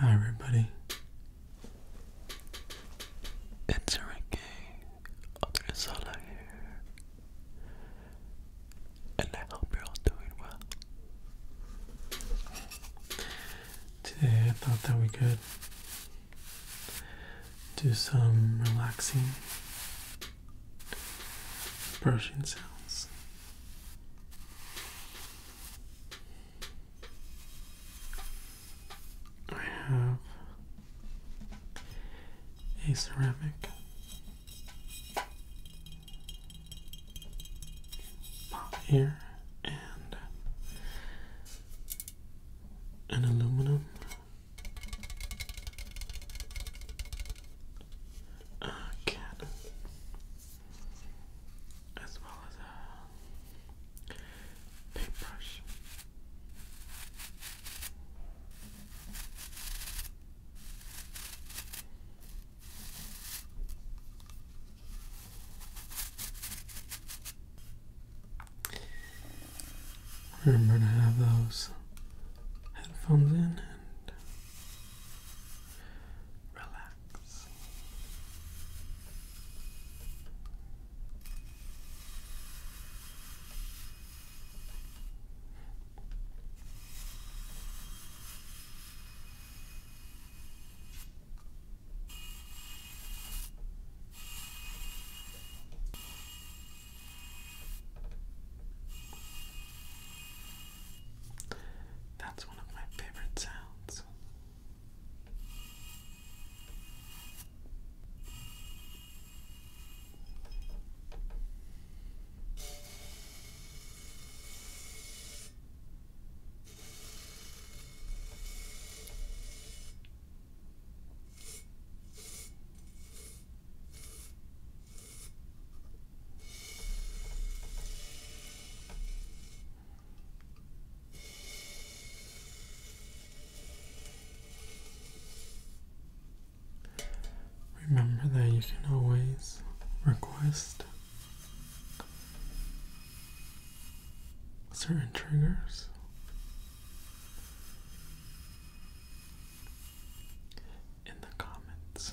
Hi, everybody. It's Ricky Odrisala here, and I hope you're all doing well. Today, I thought that we could do some relaxing brushing sounds. I have a ceramic pot here and an aluminum a cat, as well as a paintbrush. Remember to have those headphones in and relax. That's one of my favorite sounds. Remember that you can always request certain triggers in the comments.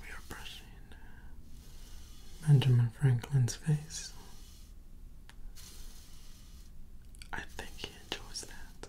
We are brushing Benjamin Franklin's face. I think he enjoys that.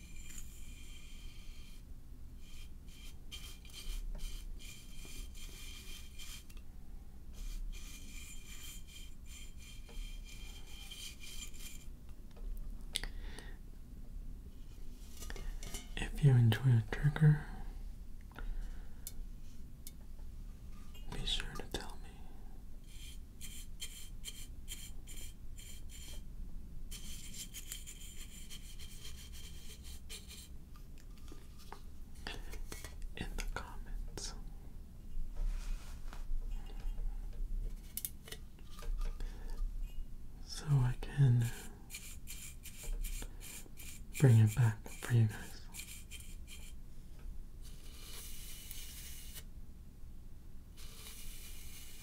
If you enjoy a trigger, be sure to tell me in the comments. So I can bring it back for you guys.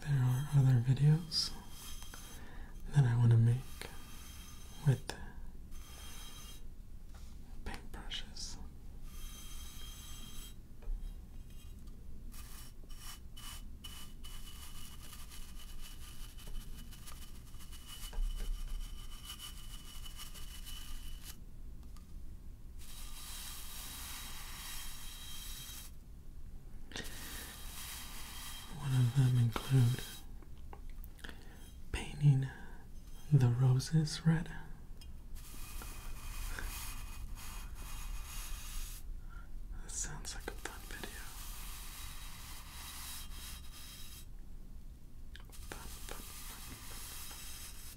There are other videos that I want to make with paintbrushes. One of them include painting the roses red. That sounds like a fun video. fun, fun, fun.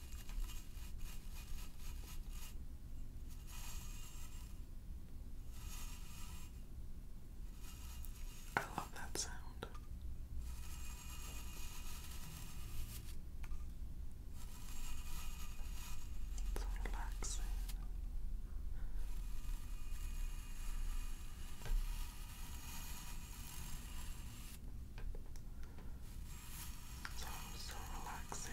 I love that sound. It's relaxing. Sounds so relaxing.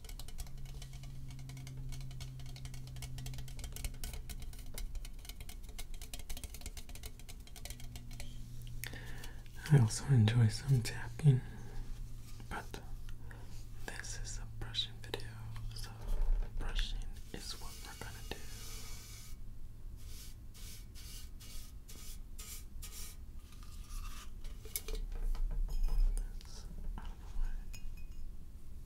I also enjoy some tapping, but this is a brushing video, so brushing is what we're gonna do.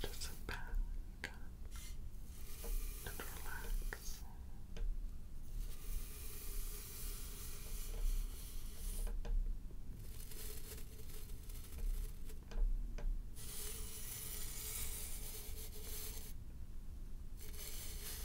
Just sit back and relax.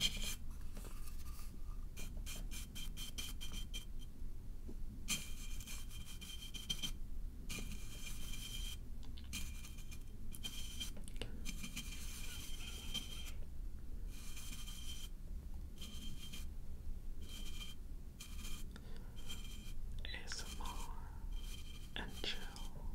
ASMR and chill.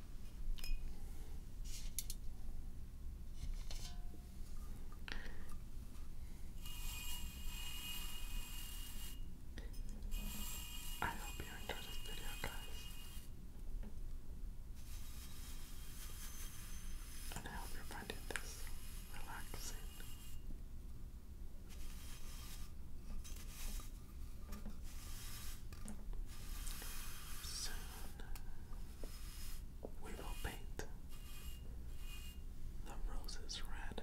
I hope you enjoyed this video, guys. And I hope you're finding this relaxing. Soon we will paint the roses red.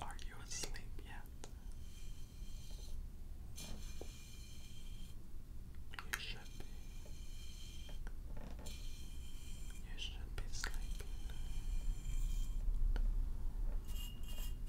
Are you asleep yet? You should be. You should be sleeping.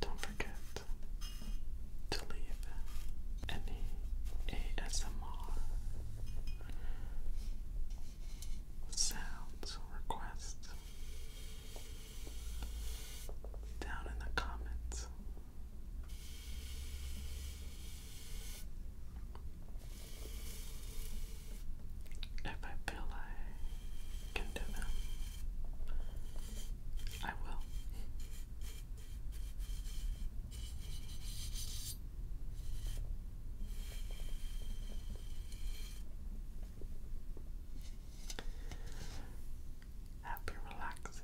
Don't forget to leave any ASMR sounds requests down in the comments. If I feel I can do will. Happy relaxing